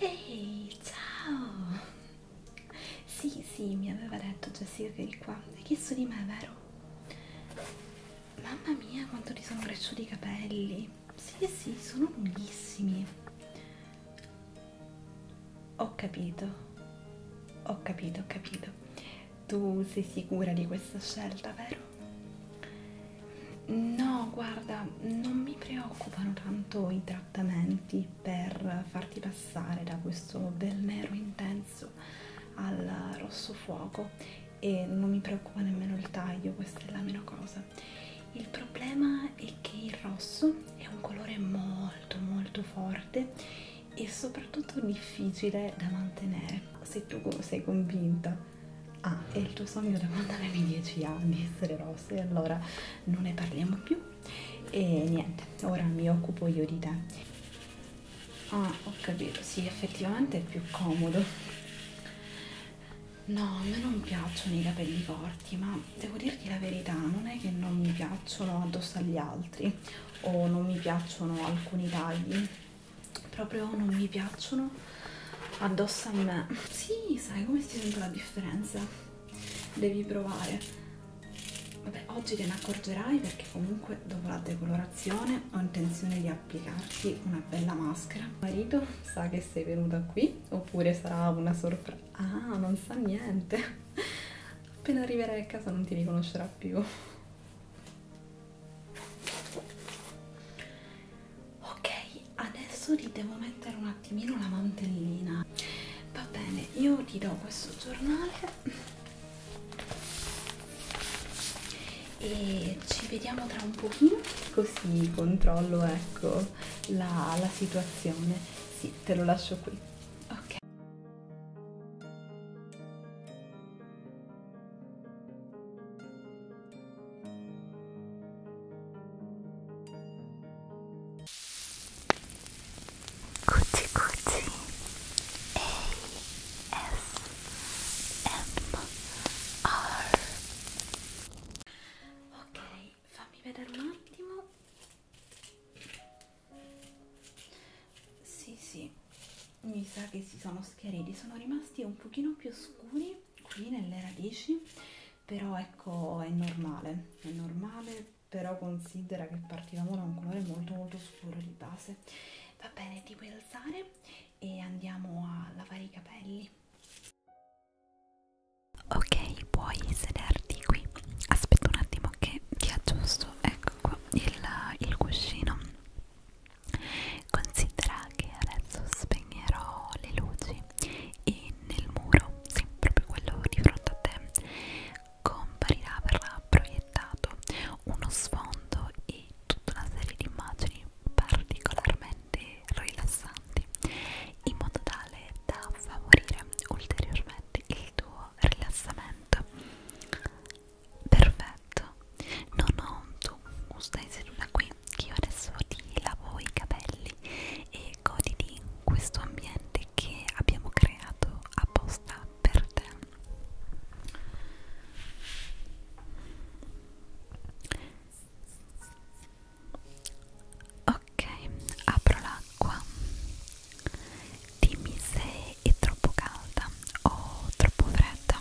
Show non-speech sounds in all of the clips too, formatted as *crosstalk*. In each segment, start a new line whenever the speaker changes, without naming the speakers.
Ehi, hey, ciao! Sì, sì, mi aveva detto Jessica che eri qua. Hai chiesto di me, vero? Mamma mia, quanto ti sono cresciuti i capelli! Sì, sì, sono lunghissimi. Ho capito. Ho capito, ho capito. Tu sei sicura di questa scelta, vero? No, guarda, non mi preoccupano tanto i trattamenti per farti passare da questo bel nero intenso al rosso fuoco e non mi preoccupa nemmeno il taglio, questa è la meno cosa rosa il problema è che il rosso è un colore molto molto forte e soprattutto difficile da mantenere se tu sei convinta ah è il tuo sogno da quando avevi 10 anni essere rosso e allora non ne parliamo più e niente ora mi occupo io di te ah ho capito sì effettivamente è più comodo No, a me non piacciono i capelli corti, ma devo dirti la verità, non è che non mi piacciono addosso agli altri o non mi piacciono alcuni tagli, proprio non mi piacciono addosso a me. Sì, sai come si sente la differenza? Devi provare. Vabbè, oggi te ne accorgerai perché comunque dopo la decolorazione ho intenzione di applicarti una bella maschera. Marito sa che sei venuta qui oppure sarà una sorpresa? Ah, non sa niente. Appena arriverai a casa non ti riconoscerà più. Ok, adesso ti devo mettere un attimino la mantellina. Va bene, io ti do questo giornale e ci vediamo tra un pochino così controllo ecco meglio la, la situazione. Sì, te lo lascio qui. Ok. Cucci cucci ASMR Ok, fammi vedere un attimo sì sì mi sa che si sono schiariti sono rimasti un pochino più scuri qui nelle radici però ecco è normale è normale però considera che partivamo da un colore molto molto scuro di base va bene ti puoi alzare e andiamo a lavare i capelli ok puoi sederti qui aspetta un attimo che ti aggiusto ecco qua il, il cuscino considera che adesso spegnerò le luci e nel muro sì, proprio quello di fronte a te comparirà verrà proiettato uno sfondo e tutta una serie di immagini particolarmente rilassanti in modo tale da favorire ulteriormente il tuo rilassamento perfetto no no tu stai seduta qui che io adesso ti lavo i capelli e godi di questo ambiente che abbiamo creato apposta per te Ok, apro l'acqua. Dimmi se è troppo calda o troppo fredda.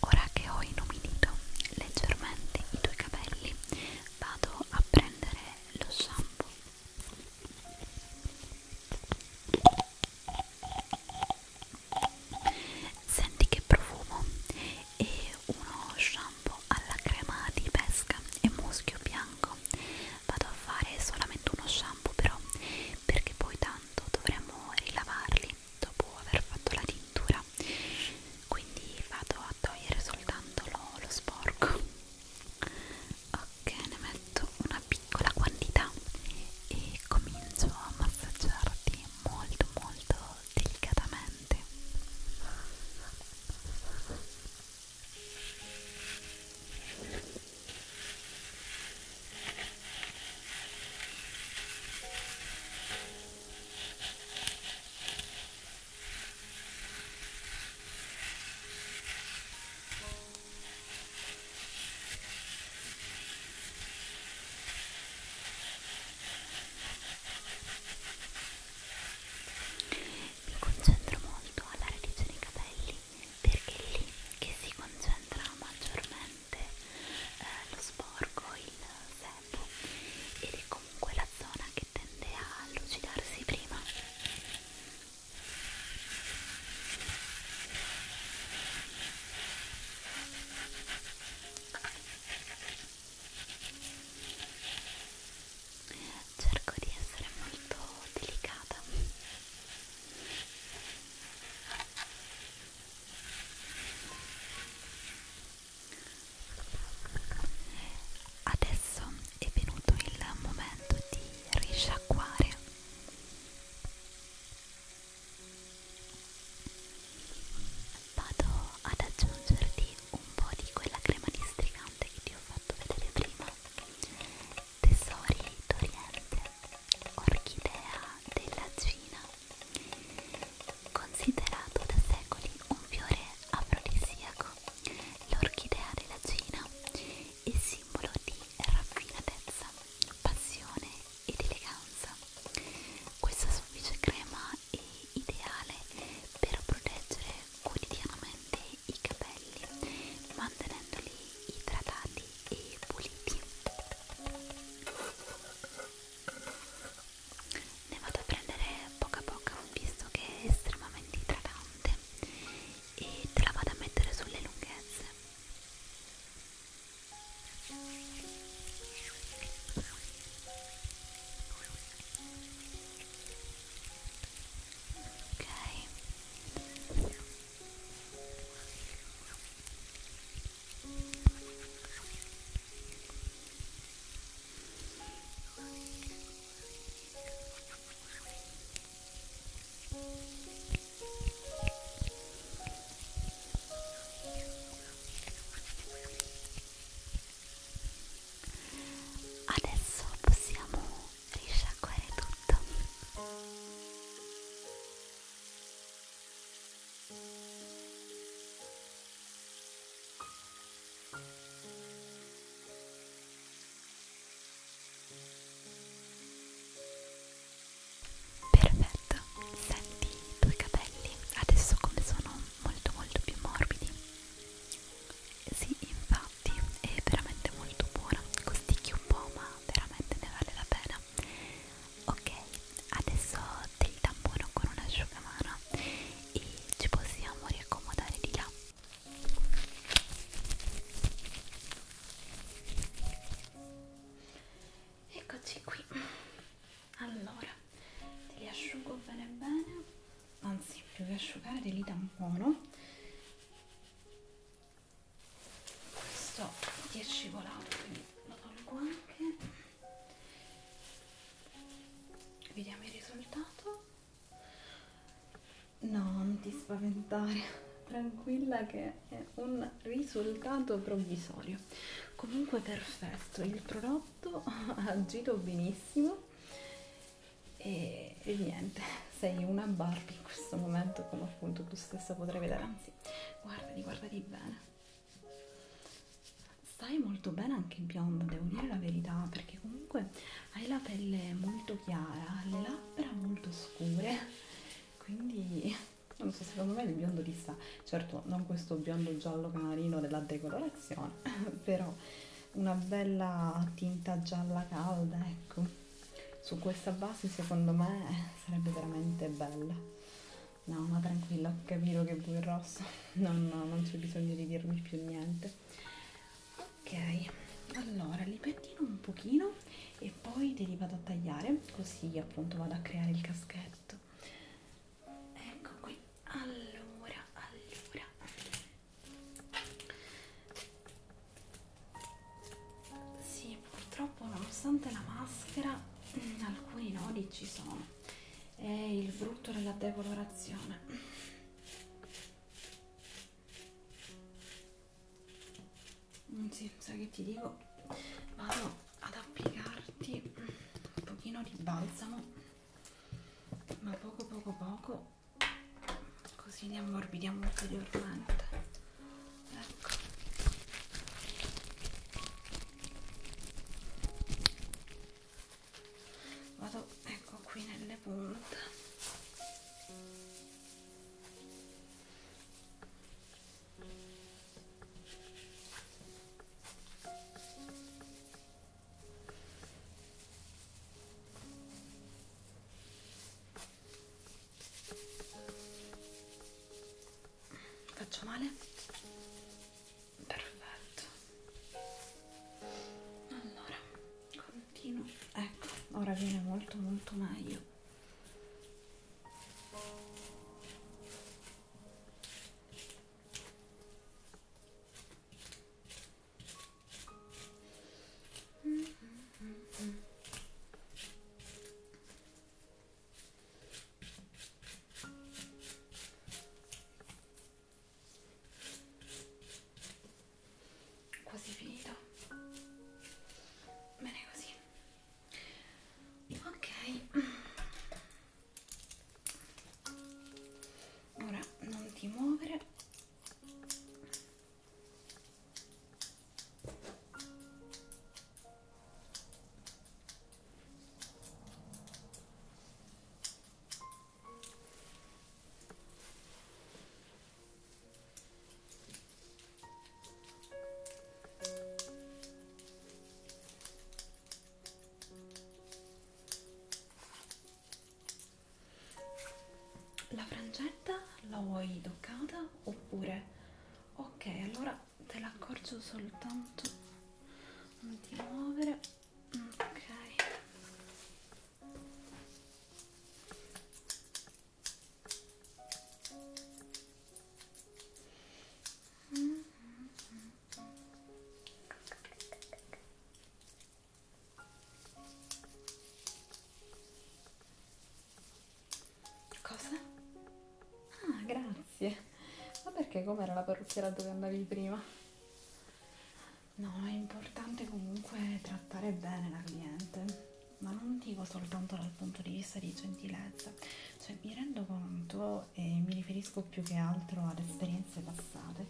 Ora che ho inumidito leggermente i tuoi capelli vado a prendere lo shampoo senti che profumo è uno shampoo alla crema di pesca e muschio bianco vado a fare solamente uno shampoo però perché poi tanto dovremo rilavarli dopo aver fatto la tintura umidità quindi vado a togliere soltanto lo, lo sporco ok ne metto una piccola quantità e comincio a massaggiarti molto molto delicatamente ok mi concentro molto alla radice dei capelli perché è lì che si concentra maggiormente eh, lo sporco, il sebo troppo ed è comunque la zona che tende a lucidarsi prima cerco di essere molto delicata Adesso è venuto il momento di risciacquare. Vado ad aggiungerti un po' di quella crema districante che ti ho fatto vedere prima. Tesori d'Oriente, orchidea della Cina. Considerato da secoli un fiore afrodisiaco, l'orchidea della Cina è simbolo di raffinatezza, passione ed eleganza. Questa soffice crema è ideale per proteggere quotidianamente i capelli, mantenendoli idratati e puliti ne vado a prendere poca poca visto che è estremamente idratante e te la vado a mettere sulle lunghezze ok ok Adesso possiamo risciacquare tutto. Perfetto, senti i tuoi capelli adesso come sono molto molto più morbidi. Sì, infatti è veramente molto buona, costicchi un po' ma veramente ne vale la pena. Ok, adesso te li tampono con un asciugamano e ci possiamo riaccomodare di là eccoci qui allora te li asciugo bene bene anzi più che asciugare te li tampono questo ti è scivolato quindi lo tolgo anche vediamo il risultato no non ti spaventare *laughs* tranquilla che è un risultato provvisorio comunque perfetto il prodotto *laughs* ha agito benissimo e, e niente sei una Barbie in questo momento come appunto tu stessa potrai vedere anzi guardati guardati bene Stai molto bene anche in biondo, devo dire la verità, perché comunque hai la pelle molto chiara, le labbra molto scure, quindi non so, secondo me il biondo ti sta. Certo, non questo biondo giallo canarino della decolorazione, *laughs* però una bella tinta gialla calda, ecco. Su questa base secondo me sarebbe veramente bella. No, ma tranquilla, ho capito che vuoi il rosso. No, no, non c'è bisogno di dirmi più niente. Ok, allora li pettino un pochino e poi te li vado a tagliare, così appunto vado a creare il caschetto. Ecco qui, allora, allora. Sì, purtroppo nonostante la maschera, *clears throat* alcuni nodi ci sono è il brutto della decolorazione mm, sì, sai che ti dico vado ad applicarti un pochino di balsamo ma poco poco poco così li ammorbidiamo ulteriormente ecco vado ecco qui nelle punte faccio male? perfetto allora continuo ecco ora viene molto molto meglio mm -hmm, mm -hmm quasi finito bene così ok ora non ti muovere la frangetta la vuoi doccata oppure ok allora te l'accorgo soltanto non ti muovere ok mm -hmm. Cosa? Ah, grazie. Grazie. Ma perché com'era la parrucchiera dove andavi prima? No, è importante comunque trattare bene la cliente, ma non dico soltanto dal punto di vista di gentilezza, cioè mi rendo conto e mi riferisco più che altro ad esperienze passate,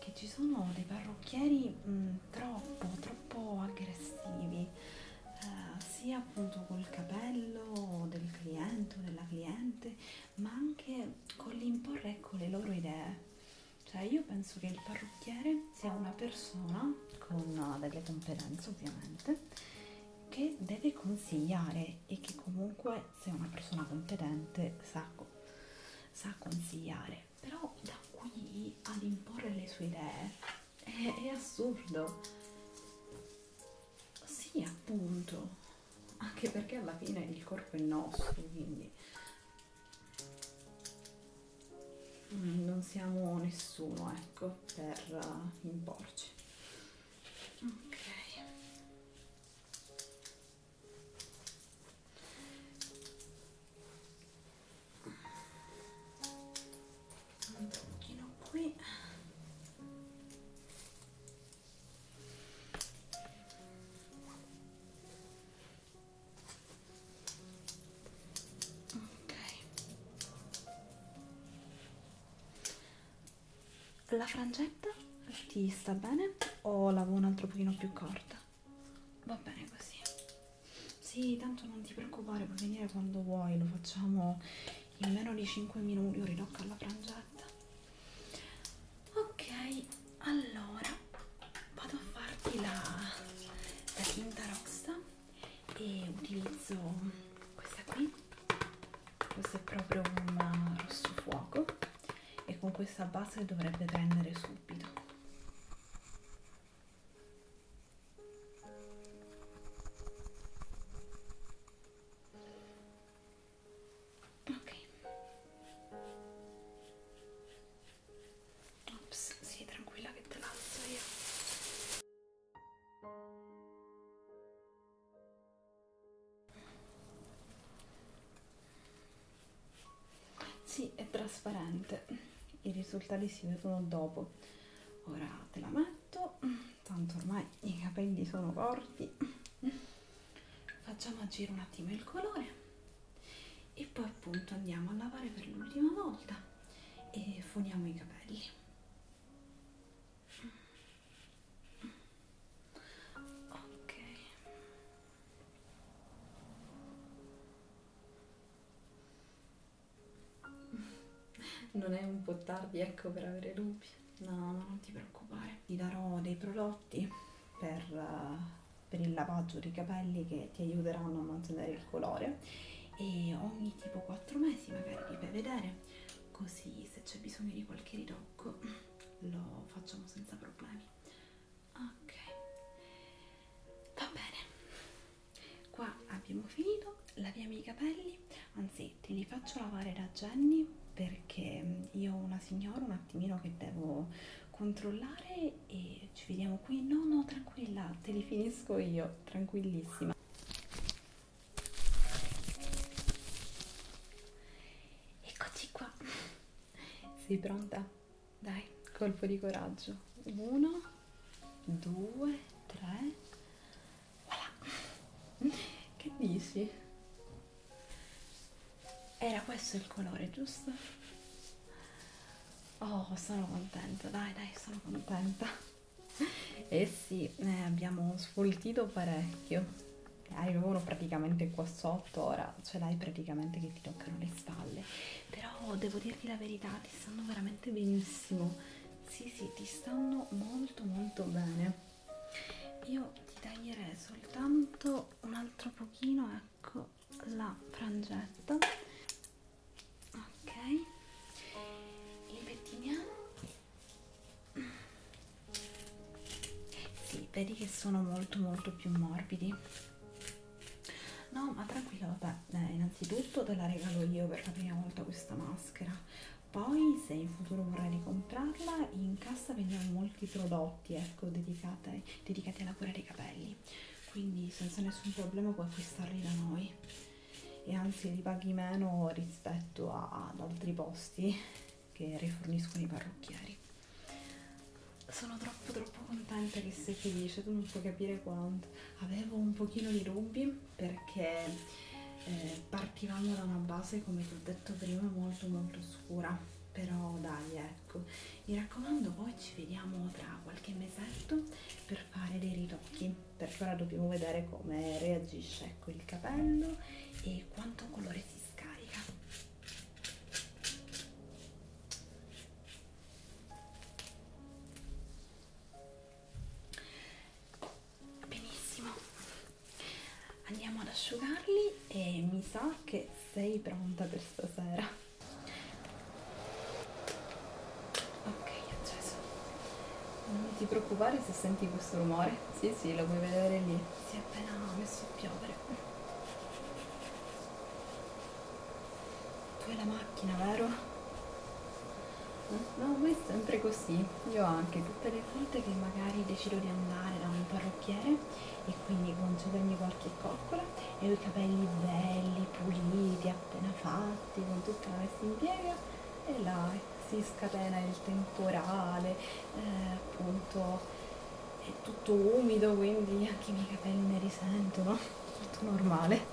che ci sono dei parrucchieri mh, troppo, troppo aggressivi, eh, sia appunto col capello del cliente o della cliente, ma anche con l'imporre ecco, le loro idee. Cioè io penso che il parrucchiere sia una persona con eh, delle competenze ovviamente che deve consigliare e che comunque se è una persona competente sa, sa consigliare però da qui ad imporre le sue idee è, è assurdo sì, appunto. Anche perché alla fine il corpo è nostro, quindi mm, non siamo nessuno, ecco, per uh, imporci. Ok. Un pochino qui ok la frangetta ti sta bene o la vuoi un altro pochino più corta va bene così sì tanto non ti preoccupare puoi venire quando vuoi lo facciamo in meno di 5 minuti un rinocco alla frangetta ok allora vado a farti la, la tinta rossa e utilizzo questa qui questo è proprio un uh, rosso fuoco e con questa base dovrebbe prendere subito ok ops sì tranquilla che te l'alzo io sì è trasparente i risultati si vedono dopo ora te la metto tanto ormai i capelli sono corti facciamo agire un attimo il colore e poi appunto andiamo a lavare per l'ultima volta e foniamo i capelli ok non è un po' tardi ecco per avere lupi No, ma non ti preoccupare, ti darò dei prodotti per, uh, per il lavaggio dei capelli che ti aiuteranno a mantenere il colore e ogni tipo 4 mesi magari li fai vedere, così se c'è bisogno di qualche ritocco lo facciamo senza problemi. Ok, va bene. Qua abbiamo finito, laviamo i capelli, anzi pezzetti li faccio lavare da Jenny perché mm, io ho una signora un attimino che devo controllare e ci vediamo qui no no tranquilla te li finisco io tranquillissima eccoci qua sei pronta dai colpo di coraggio 1 2 3 voilà. che dici? Era questo il colore, giusto? Oh, sono contenta, dai, dai, sono contenta. Eh sì, eh, abbiamo sfoltito parecchio. Hai uno praticamente qua sotto, ora ce l'hai praticamente che ti toccano le spalle. Però devo dirti la verità, ti stanno veramente benissimo. Sì, sì, ti stanno molto molto bene io ti taglierei soltanto un altro pochino ecco la frangetta ok impettiniamo sì, vedi che sono molto molto più morbidi no ma tranquillo vabbè eh, innanzitutto te la regalo io per la prima volta questa maschera poi, se in futuro vorrai ricomprarla, in cassa vendiamo molti prodotti ecco, dedicati, dedicati alla cura dei capelli. Quindi, senza nessun problema, puoi acquistarli da noi e anzi li paghi meno rispetto a, ad altri posti che riforniscono i parrucchieri. Sono troppo troppo contenta che sei felice, tu non puoi capire quanto. Avevo un pochino di dubbi oggi perché eh, partivamo da una base, come vi ho detto prima, molto molto scura, però dai ecco, mi raccomando poi ci vediamo tra qualche mesetto per fare dei ritocchi, per ora dobbiamo vedere come reagisce ecco, il capello e quanto colore si scarica benissimo andiamo ad asciugarli e mi sa che sei pronta per stasera ok acceso non ti preoccupare se senti questo rumore sì sì lo puoi vedere lì si è appena messo a piovere tu hai la macchina vero? No, ma è sempre così. Io anche tutte le volte che magari decido di andare da un parrucchiere e quindi concedermi qualche coccola e ho i capelli belli, puliti, appena fatti, con tutta la messa in piega e là si scatena il temporale, eh, appunto è tutto umido quindi anche i miei capelli ne risentono, tutto normale.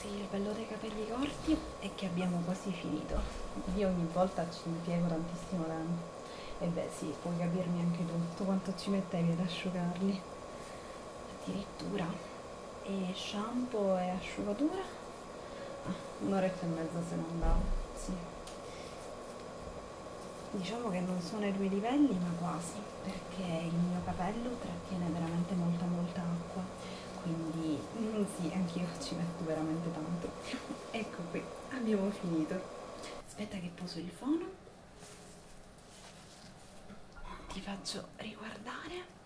Sì, il bello dei capelli corti è che abbiamo quasi finito. Io ogni volta ci impiego tantissimo tempo. E beh sì, puoi capirmi anche tu, tu quanto ci mettevi ad asciugarli. Addirittura. E shampoo e asciugatura? Ah, un'oretta e mezza se ne andavo, sì. Diciamo che non sono ai due livelli, ma quasi, perché il mio capello trattiene veramente molta molta acqua quindi mm, sì, anche io ci metto veramente tanto. *laughs* ecco qui, abbiamo finito. Aspetta che poso il fono, ti faccio riguardare.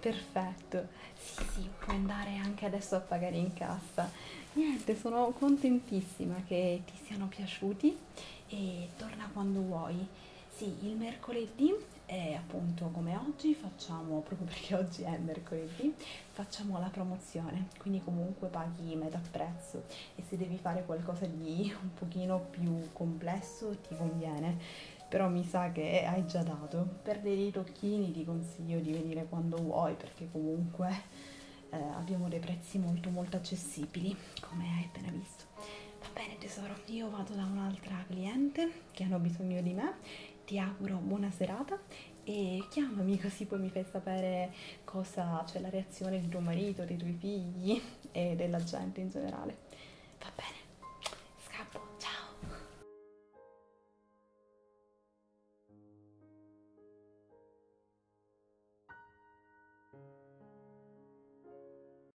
Perfetto, sì sì, puoi andare anche adesso a pagare in cassa. Niente, sono contentissima che ti siano piaciuti e torna quando vuoi. Sì, il mercoledì, eh, appunto come oggi, facciamo, proprio perché oggi è mercoledì, facciamo la promozione, quindi comunque paghi metà prezzo e se devi fare qualcosa di un pochino più complesso ti conviene, però mi sa che hai già dato. Per dei tocchini ti consiglio di venire quando vuoi perché comunque eh, abbiamo dei prezzi molto molto accessibili, come hai appena visto questo va bene tesoro io vado da un'altra cliente che hanno bisogno di me ti auguro buona serata e chiamami *laughs* così poi mi fai sapere cosa c'è cioè la reazione di tuo marito dei tuoi figli e della gente in generale va bene scappo ciao